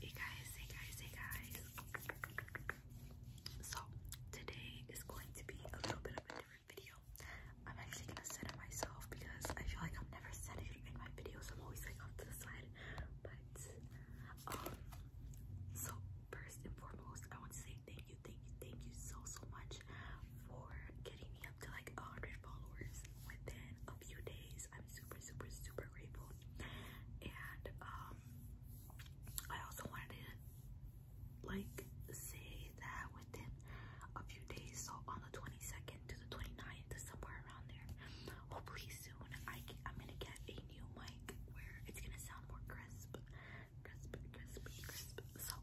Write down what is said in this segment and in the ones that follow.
Hey guys, hey guys, hey guys. So, today is going to be a little bit of a different video. I'm actually gonna set it myself because I feel like i have never setting it in my videos. I'm always like off to the side. But, um, so first and foremost, I want to say thank you, thank you, thank you so, so much for getting me up to like 100 followers within a few days super, super, super grateful. And um, I also wanted to like say that within a few days, so on the 22nd to the 29th, somewhere around there, hopefully soon, I I'm gonna get a new mic where it's gonna sound more crisp, crisp, crisp, crisp. So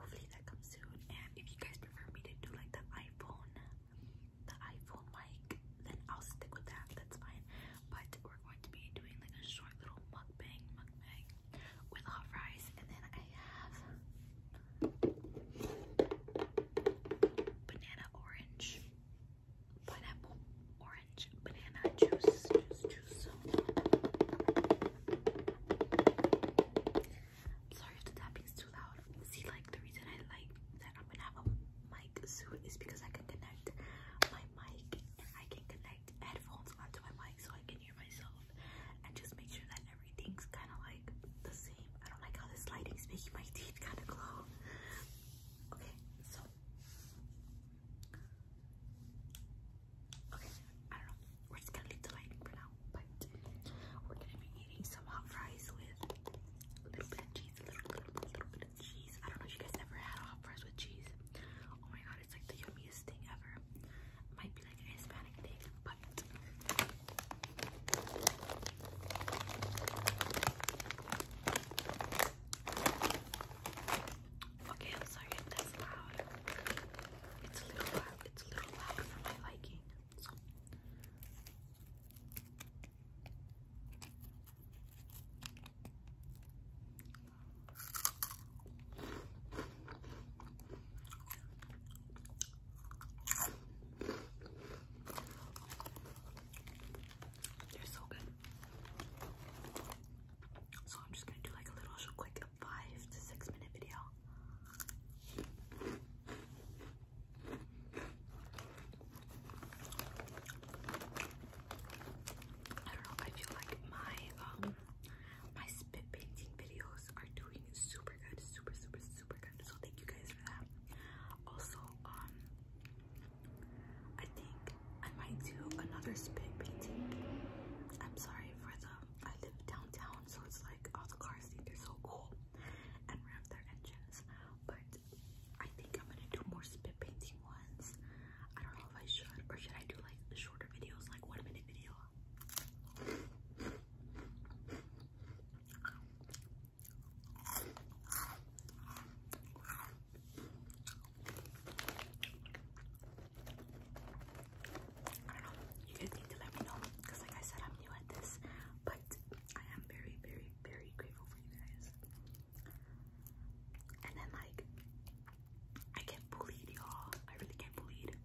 hopefully that comes soon. And if you guys prefer me to do like the iPhone the iPhone mic, then I'll stick with that. That's fine. But we're going to be doing like a short little mukbang, mukbang with hot fries, and then I have banana orange, pineapple orange, banana juice, juice, juice. I'm sorry if the tapping's too loud. See, like the reason I like that I'm gonna have a mic soon is because I can connect my mic and I can connect headphones onto my mic so I can hear myself and just make sure that everything's kind of like the same. I don't like how this lighting's making my teeth kind of glow. Okay, so. Okay, I don't know. We're just gonna leave the lighting for now. Bye we're gonna be eating some hot fries with a little bit of cheese, a little, bit of cheese. I don't know if you guys ever had hot fries with cheese. Oh my god, it's like the yummiest thing ever. might be like a Hispanic thing, but Okay, sorry that's loud. It's a little loud. It's a little loud for my liking. So. They're so good. So I'm just gonna do like a little quick five to six minute video. I don't know, I feel like my um, my spit painting videos are doing super good, super super super good. So thank you guys for that. Also, um I think I might do another spit painting. I'm sorry for the I live downtown so it's like all oh, the cars think they're so cool and rev their engines. But I think I'm gonna do more spit painting ones. I don't know if I should, or should I do like shorter videos, like one minute video? I don't know. You guys need to let me know because, like I said, I'm new at this. I am very, very, very grateful for you guys. And then like, I get bullied, y'all. I really get bullied.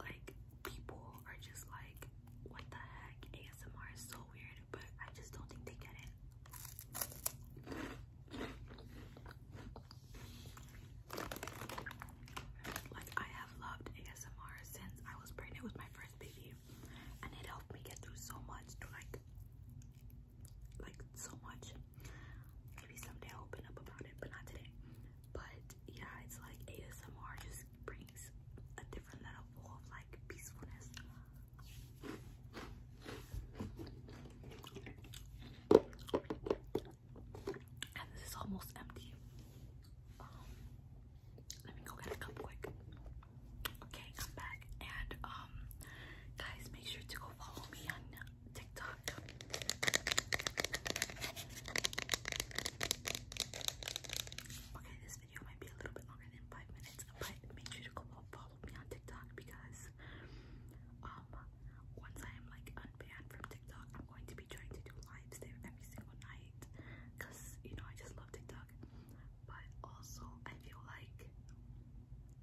Like, people are just like, what the heck? ASMR is so weird, but I just don't think they get it. Like, I have loved ASMR since I was pregnant with my first and it helped me get through so much to like like so much maybe someday open up about it but not today but yeah it's like asmr just brings a different level of like peacefulness and this is almost empty let me go get a cup quick. Okay, I'm back. And um, guys, make sure to go follow me on TikTok. Okay, this video might be a little bit longer than five minutes, but make sure to go follow me on TikTok because um, once I am like unbanned from TikTok, I'm going to trying to do lives there every single night because you know I just love TikTok. But also, I feel like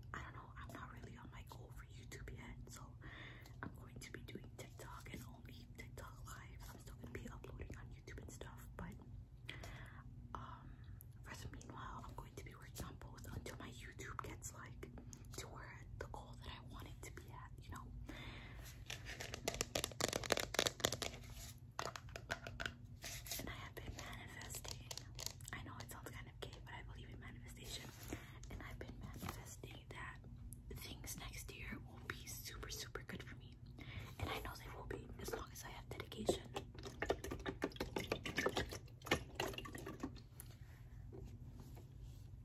I don't know, I'm not really on my goal for YouTube yet, so I'm going to be doing TikTok and only TikTok live. I'm still gonna be uploading on YouTube and stuff, but um, for the meanwhile, I'm going to be working on both until my YouTube gets like to where the goal that I want it to be at, you know. And I have been manifesting. I know it sounds kind of gay, but I believe in manifestation. And I've been manifesting that things next year will be super, super good for me. And I know they will be as long as I have dedication.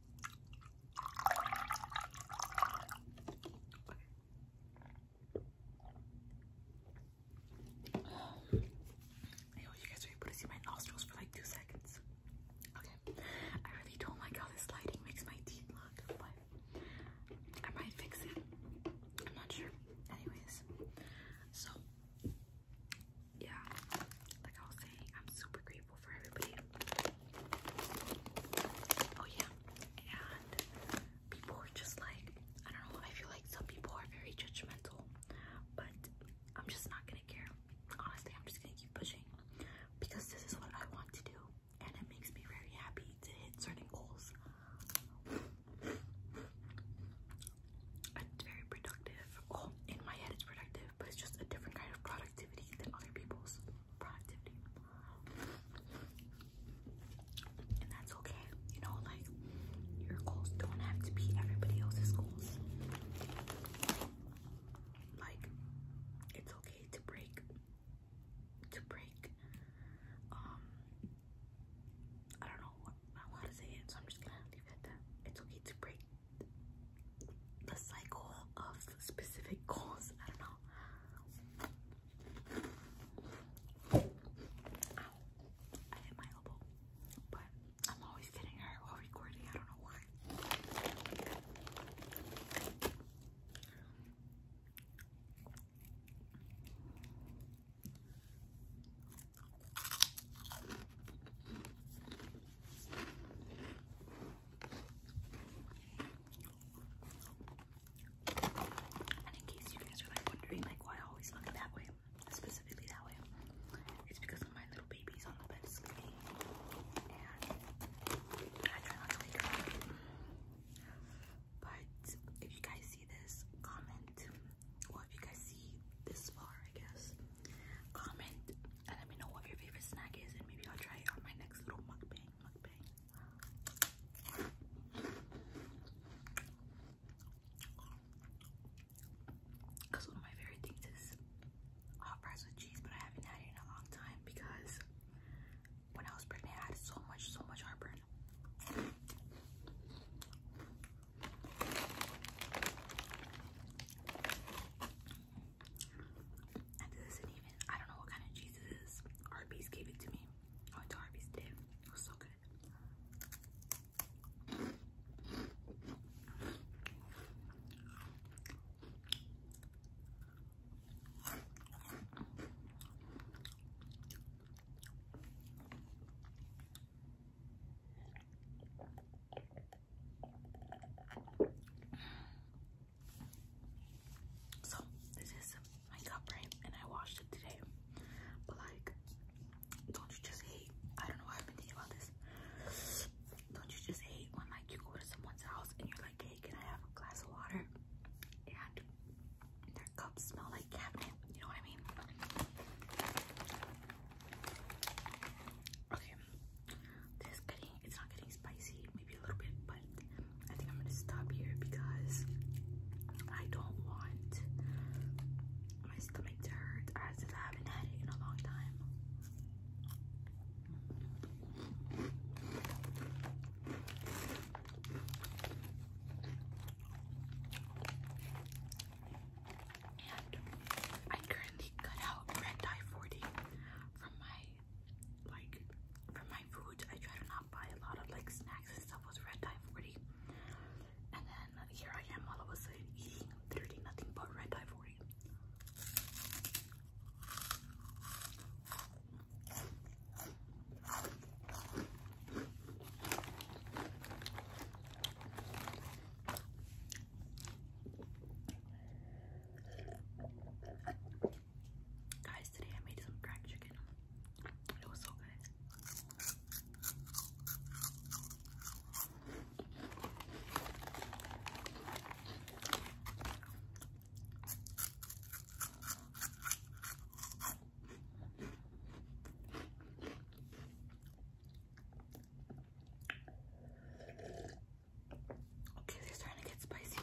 I hope you guys are able to see my nostrils for like two seconds. Okay, I really don't like how this lighting makes my teeth look, I might fix it. I'm not sure. Anyways, so yeah, like I was saying, I'm super grateful for everybody. Oh yeah, and people are just like, I don't know, I feel like some people are very judgmental, but I'm just not gonna care. Honestly, I'm just gonna keep pushing because this is what I want to do and it makes me very happy to hit certain goals. It's very productive. Oh, in my head it's productive, but it's just a different kind of project than other people's productivity. And that's okay. You know, like your goals don't have to be everybody else's goals. Like it's okay to break to break um I don't know what to say it, so I'm just gonna leave it at It's okay to break the cycle of specific goals. I don't know. I hit my elbow. But I'm always getting hurt recording. I don't know why. And in case you guys are like wondering like why I always look that way, specifically that way, it's because my little baby's on the bed and I try not to wake up. But if you guys see this, comment. Well, if you guys see this far, I guess, Comment and let me know what your favorite snack is, and maybe I'll try it on my next little mukbang. Because one of my favorite things is hot fries with cheese, but I haven't had it in a long time because when I was pregnant, I had so much, so much heartburn. And this not even, I don't know what kind of cheese it is. Arby's gave it to me. I went to Arby's today. It was so good. So this is my cup, right? And I washed it today. But like, don't you just hate? I don't know why I've been thinking about this. Don't you just hate when like you go to someone's house and you're like, hey, can I have a glass of water? And their cups smell like cabinet. You know what I mean? Okay, this getting it's not getting spicy, maybe a little bit, but I think I'm gonna stop here because I don't want my stomach to hurt as I haven't had it in a long time. And I currently cut out red dye 40 from my like from my food. I try to not buy a lot of like snacks and stuff with red dye 40. And then here I am all of a sudden eating thirty nothing but red dye 40. Guys, today I made some cracked chicken. It was so good. Okay, they're starting to get spicy.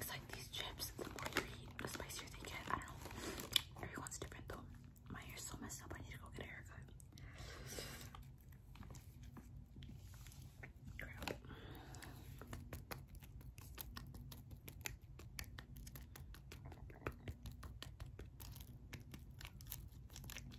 It's like these chips, the more you the spicier they get. I don't know. Everyone's different though. My hair's so messed up, I need to go get a haircut. Crap.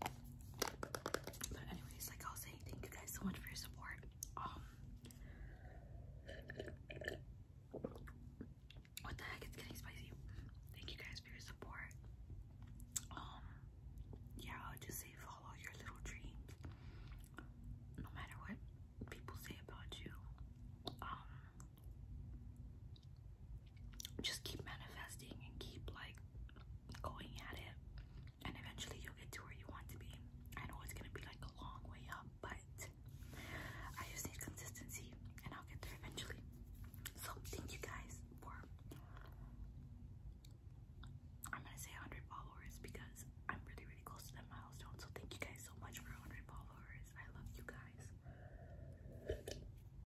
But anyways, like I was saying, thank you guys so much for your support. Um, what the heck? It's getting spicy. Thank you guys for your support. Um, yeah, I'll just say follow your little dreams. No matter what people say about you. Um, just keep manifesting and keep like going at it and eventually you'll get to where you want to be i know it's gonna be like a long way up but i just need consistency and i'll get there eventually so thank you guys for i'm gonna say 100 followers because i'm really really close to that milestone so thank you guys so much for 100 followers i love you guys